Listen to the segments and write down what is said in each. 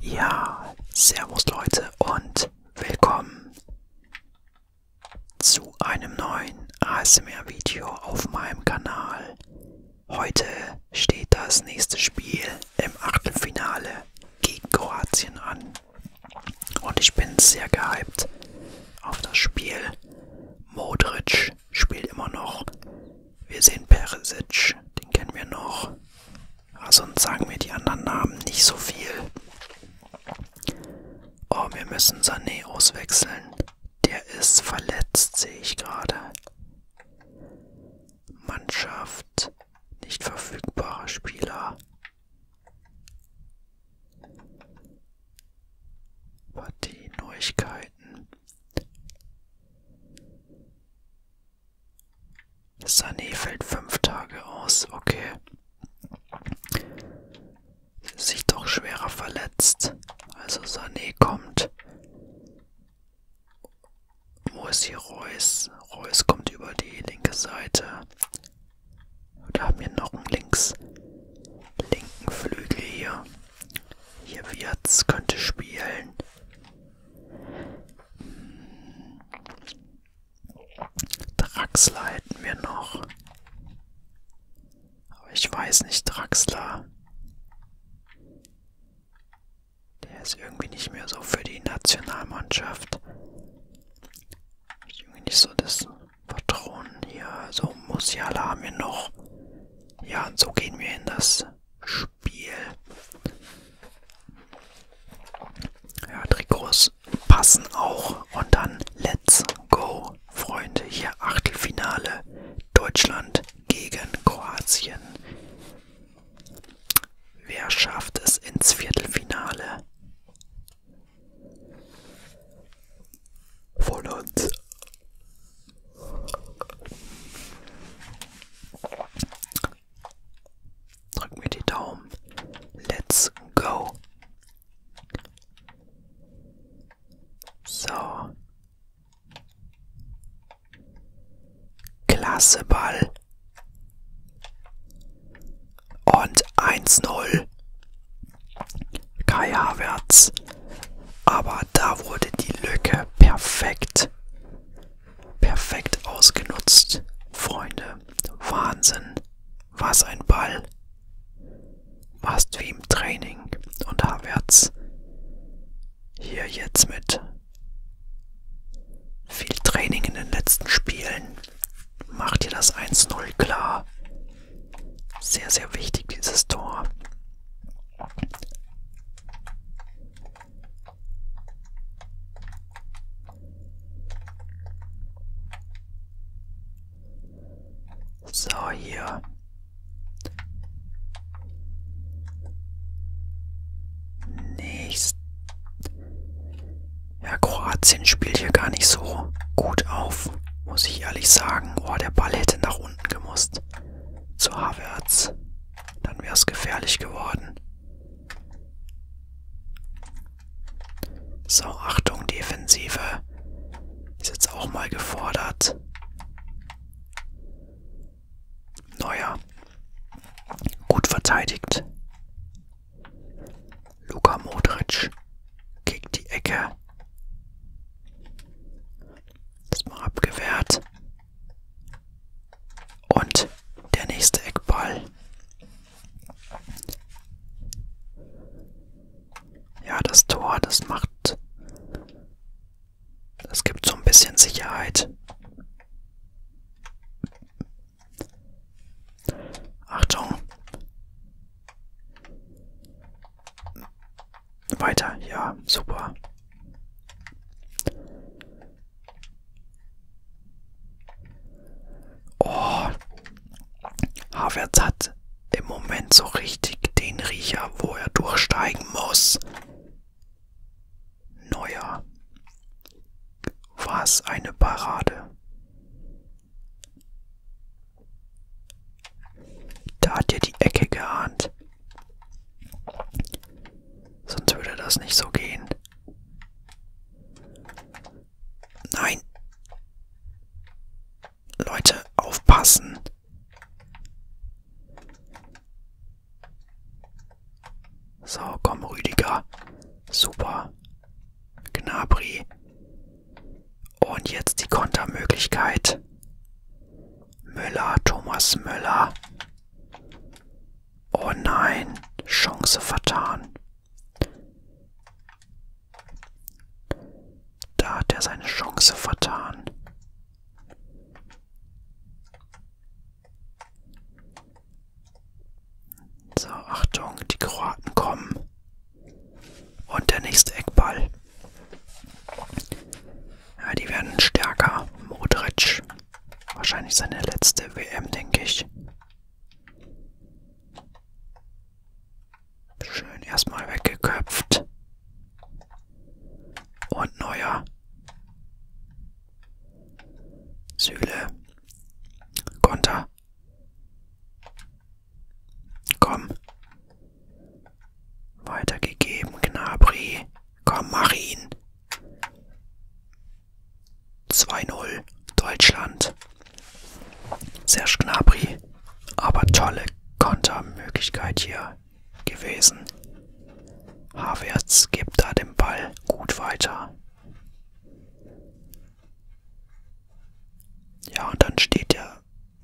Ja, servus Leute und willkommen zu einem neuen ASMR-Video auf meinem Kanal. Heute steht das nächste Spiel im Achtelfinale gegen Kroatien an. Und ich bin sehr gehypt auf das Spiel. Modric spielt immer noch. Wir sehen Peresic, den kennen wir noch. Aber ah, sonst sagen mir die anderen Namen nicht so viel. Oh, wir müssen Sané auswechseln. Der ist verletzt, sehe ich gerade. Mannschaft, nicht verfügbarer Spieler. Partie Neuigkeiten. Sané fällt fünf Tage aus, okay. Sich doch schwerer verletzt. Also Sané kommt. Wo ist hier Reus? Reus kommt über die linke Seite. Da haben wir noch einen links linken Flügel hier. Hier Wirtz könnte spielen. Draxler hätten wir noch. Aber ich weiß nicht, Draxler. Der ist irgendwie nicht mehr so für die Nationalmannschaft. Irgendwie nicht so das Patronen hier. So also Musiala haben wir noch. Ja, und so gehen wir in das Spiel. Ja, Trikots passen auch. Und dann let's go, Freunde. Hier Achtelfinale. Deutschland gegen Kroatien. Wer schafft es ins Viertelfinale? Von uns. Drück mir die Daumen. Let's go. So. Klasse Ball. Und 1-0. Kai Havertz. Aber da wurde die Lücke perfekt Perfekt ausgenutzt. Freunde, Wahnsinn. Was ein Ball. Fast wie im Training. Und Havertz hier jetzt mit viel Training in den letzten Spielen macht hier das 1-0 klar. Sehr, sehr wichtig dieses Tor. So, hier. Nächst. Ja, Kroatien spielt hier gar nicht so gut auf, muss ich ehrlich sagen. Oh, der Ball hätte nach unten gemusst. Zu Havertz. Dann wäre es gefährlich geworden. So, Achtung, Defensive. Ist jetzt auch mal gefordert. Neuer. Gut verteidigt. Luka Modric. Gegen die Ecke. Das mal abgewehrt. Und der nächste Eckball. Ja, das Tor, das macht... Das gibt so ein bisschen Sicherheit. 呀，走吧。Oh, Havertz hat im Moment so richtig den Riecher, wo er durchsteigen muss. Neuer. Was eine Parade. Da hat er die Ecke geahnt. Sonst würde das nicht so gehen. Nein. Leute, aufpassen. So, komm, Rüdiger. Super. Gnabri. Und jetzt die Kontermöglichkeit. Müller, Thomas Müller. Oh nein, Chance vertan. Da hat er seine Chance vertan. So, Achtung, die Kroaten kommen. Und der nächste Eckball. Ja, die werden stärker. Modric. Wahrscheinlich seine letzte WM, denke ich. Schön erstmal weggeköpft. Und neuer. Süle. Konter. Komm. Weitergegeben, Gnabry. Komm, mach ihn. 2-0, Deutschland. Serge Gnabry. Aber tolle Kontermöglichkeit hier gewesen. Havertz gibt da den Ball gut weiter. Ja, und dann steht der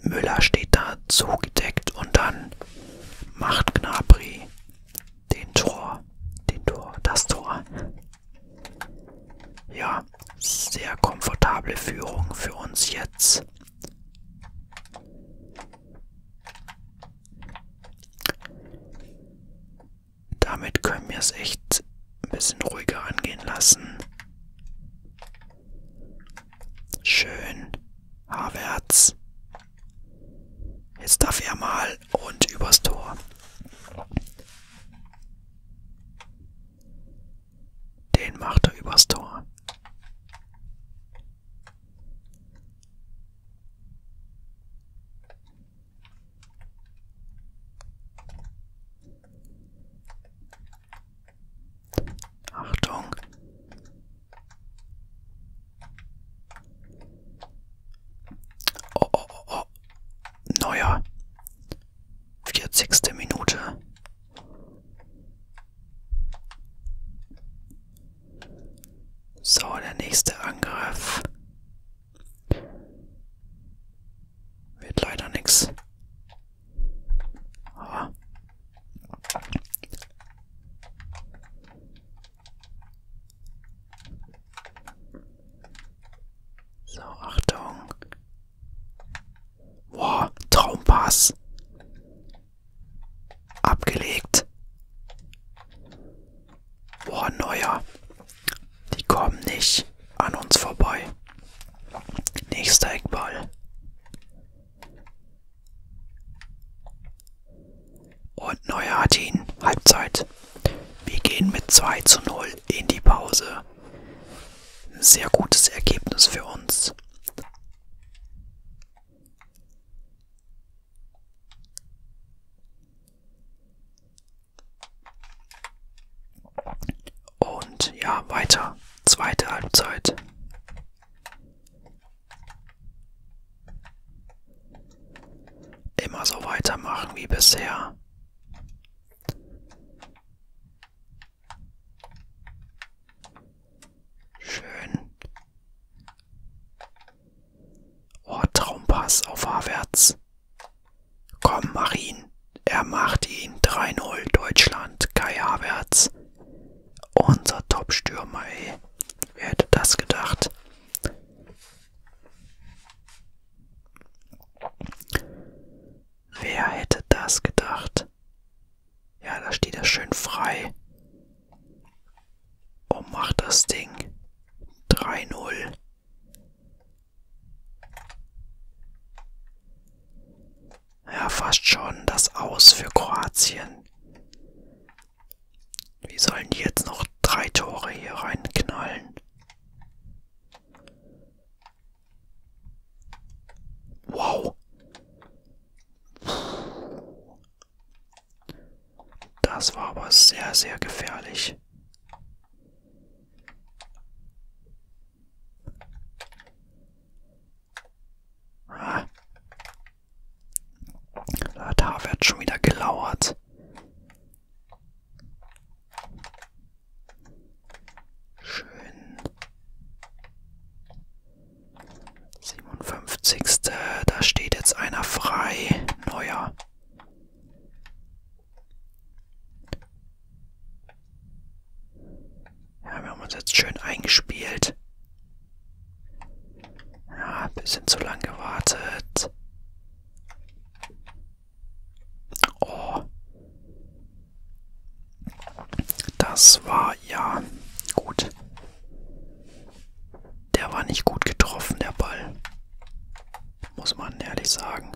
Müller steht da zugedeckt und dann macht Gnabry den Tor, den Tor, das Tor. Ja, sehr komfortable Führung für uns jetzt. Damit können wir es echt ein bisschen ruhiger angehen lassen. Schön. Havertz. Jetzt darf er mal und übers Tor. Den macht er übers Tor. Achtung, Oh, oh, oh, oh. Neuer. 40. Minute. So, der nächste Angriff. Wird leider nichts. Ah, so, Achtung. Boah, Traumpass. Abgelegt. Boah, neuer. Die kommen nicht an uns vorbei. Nächster Eckball. Und Neuer hat ihn. Halbzeit. Wir gehen mit 2 zu 0 in die Pause. Ein sehr gutes Ergebnis für uns. Und ja, weiter. Zweite Halbzeit. Immer so weitermachen wie bisher. Schön. Oh, Traumpass auf Havertz. Komm, mach ihn. Er macht ihn. 3-0 Deutschland. Kai Havertz. Unser Top-Stürmer, ey. Wer hätte das gedacht? Wer hätte das gedacht? Ja, da steht er schön frei. Und macht das Ding. 3-0 ja fast schon das Aus für Kroatien. Wie sollen die jetzt noch drei Tore hier reinknallen? Wow. Das war aber sehr, sehr gefährlich. Ah. ah. Da hat Harvard schon wieder gelauert. Schön. 57. Da steht jetzt einer frei. Neuer. Ja, wir haben uns jetzt schön eingespielt. Ja, ein bisschen zu lang gewartet. Oh. Das war ja gut. Der war nicht gut getroffen, der Ball. Muss man ehrlich sagen.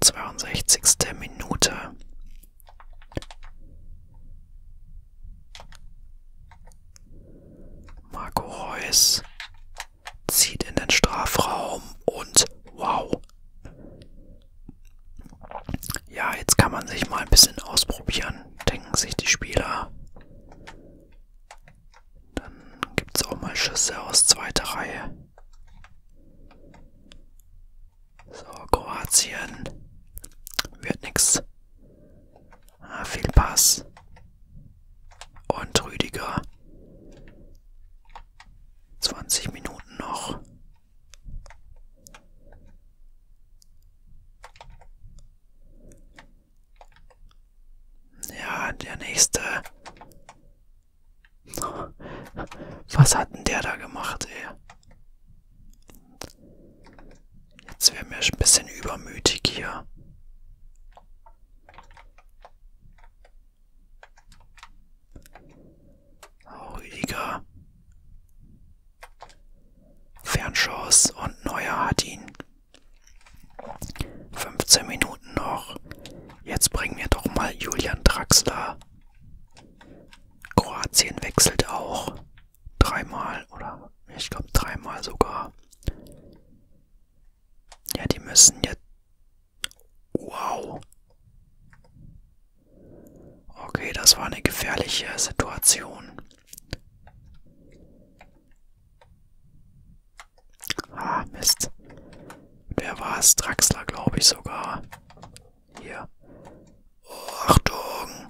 62. Minute. Marco Reus zieht in den Strafraum und wow. Ja, jetzt kann man sich mal ein bisschen ausprobieren, denken sich die Spieler. Dann gibt es auch mal Schüsse aus zweiter Reihe. So, Kroatien. Wird nix. Ah, viel Pass. Und Rüdiger. 20 Minuten noch. Ja, der nächste. Was hat denn der da gemacht, ey? Jetzt wäre mir ein bisschen übermütig hier. Oh, Rüdiger. Fernschuss und Neuer hat ihn. 15 Minuten noch. Jetzt bringen wir doch mal Julian Draxler Kroatien wechselt auch dreimal oder ich glaube dreimal sogar. Ja, die müssen jetzt. Wow. Okay, das war eine gefährliche Situation. Ah, Mist. Wer war es? Draxler, glaube ich sogar. Hier. Achtung!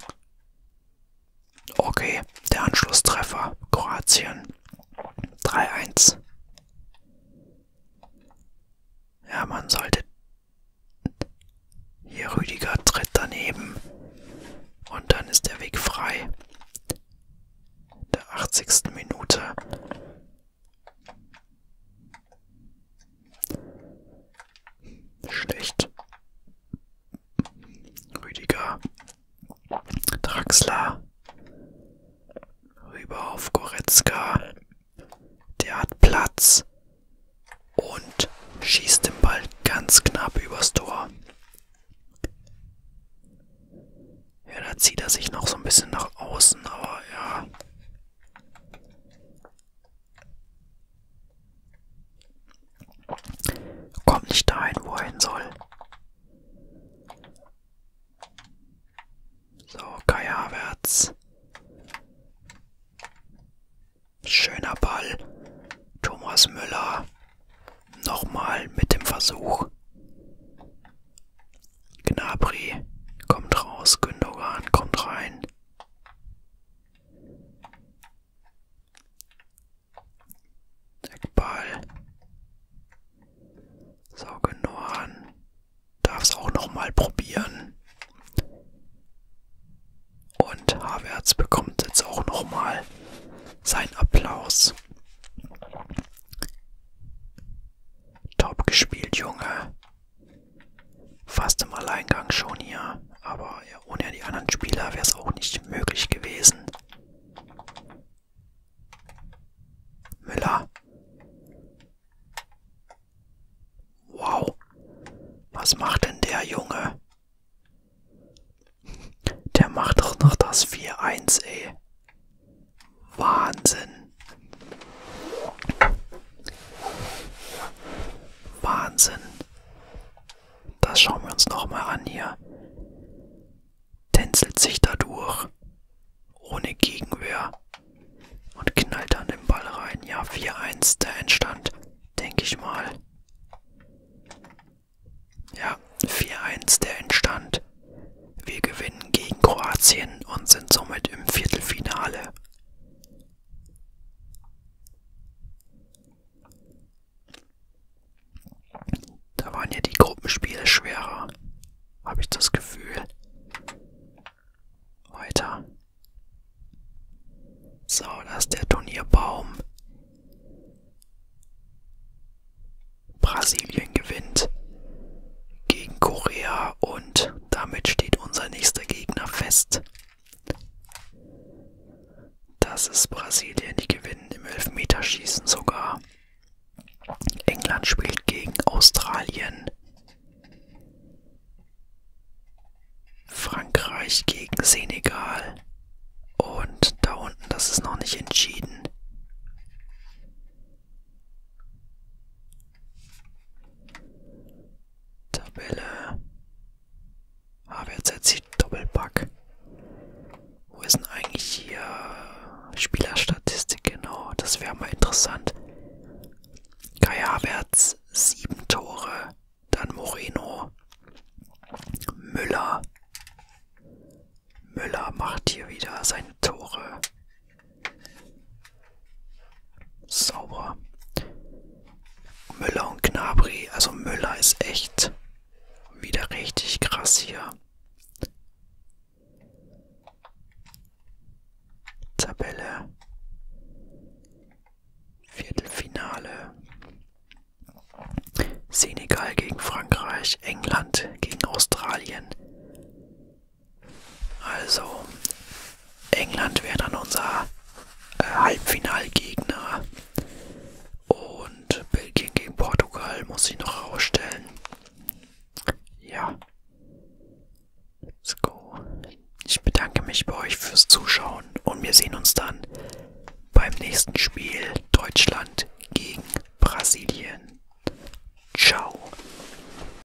Okay, der Anschlusstreffer. Kroatien. 3-1. Ja, man sollte. Hier Rüdiger tritt daneben. Und dann ist der Weg frei. Der 80. Minute. Schlecht. Rüdiger. Draxler. Rüber auf Goretzka. Der hat Platz. Und schießt den Ball ganz knapp übers Tor. Ja, da zieht er sich noch so ein bisschen nach außen, aber ja, Kommt nicht dahin, wo er hin soll. So, Kai Havertz. Schöner Ball. Thomas Müller. Nochmal mit dem Versuch. Gnabry kommt raus. Gündogan kommt rein. Eckball. Sauge Norn. Darf's auch nochmal probieren. Und Havertz bekommt jetzt auch nochmal seinen Applaus. Top gespielt, Junge. Fast im Alleingang schon hier, aber ohne die anderen Spieler wäre es auch nicht möglich gewesen. Müller. Wow. Was macht denn der Junge? Der macht doch noch das 4-1, ey. Wahnsinn. Wahnsinn. Das schauen wir uns nochmal an hier. Tänzelt sich dadurch. Ohne Gegenwehr. Und knallt dann den Ball rein. Ja, 4-1 der Endstand. Denke ich mal. Ja, 4-1 der Endstand. Wir gewinnen gegen Kroatien und sind somit im Viertelfinale. Da waren ja die Gruppenspiele schwerer, habe ich das Gefühl. Weiter. So, da ist der Turnierbaum. Brasilien gewinnt gegen Korea und damit steht unser nächster Gegner fest. Das ist Brasilien, die gewinnen im Elfmeterschießen sogar. England spielt gegen Australien. Frankreich gegen Senegal. Und da unten, das ist noch nicht entschieden. Tabelle. HWZ Doppelpack. Wo ist denn eigentlich hier Spielerstatistik genau? Das wäre mal interessant. Kai Havertz, sieben Tore. Dann Moreno. Müller. Müller macht hier wieder seine Tore. Sauber. Müller und Gnabry. Also Müller ist echt wieder richtig krass hier. Tabelle. Viertelfinale. Senegal gegen Frankreich, England gegen Australien, also, England wäre dann unser äh, Halbfinalgegner. Und Belgien gegen Portugal muss ich noch rausstellen. Ja. Let's go. Ich bedanke mich bei euch fürs Zuschauen und wir sehen uns dann beim nächsten Spiel Deutschland gegen Brasilien. Ciao.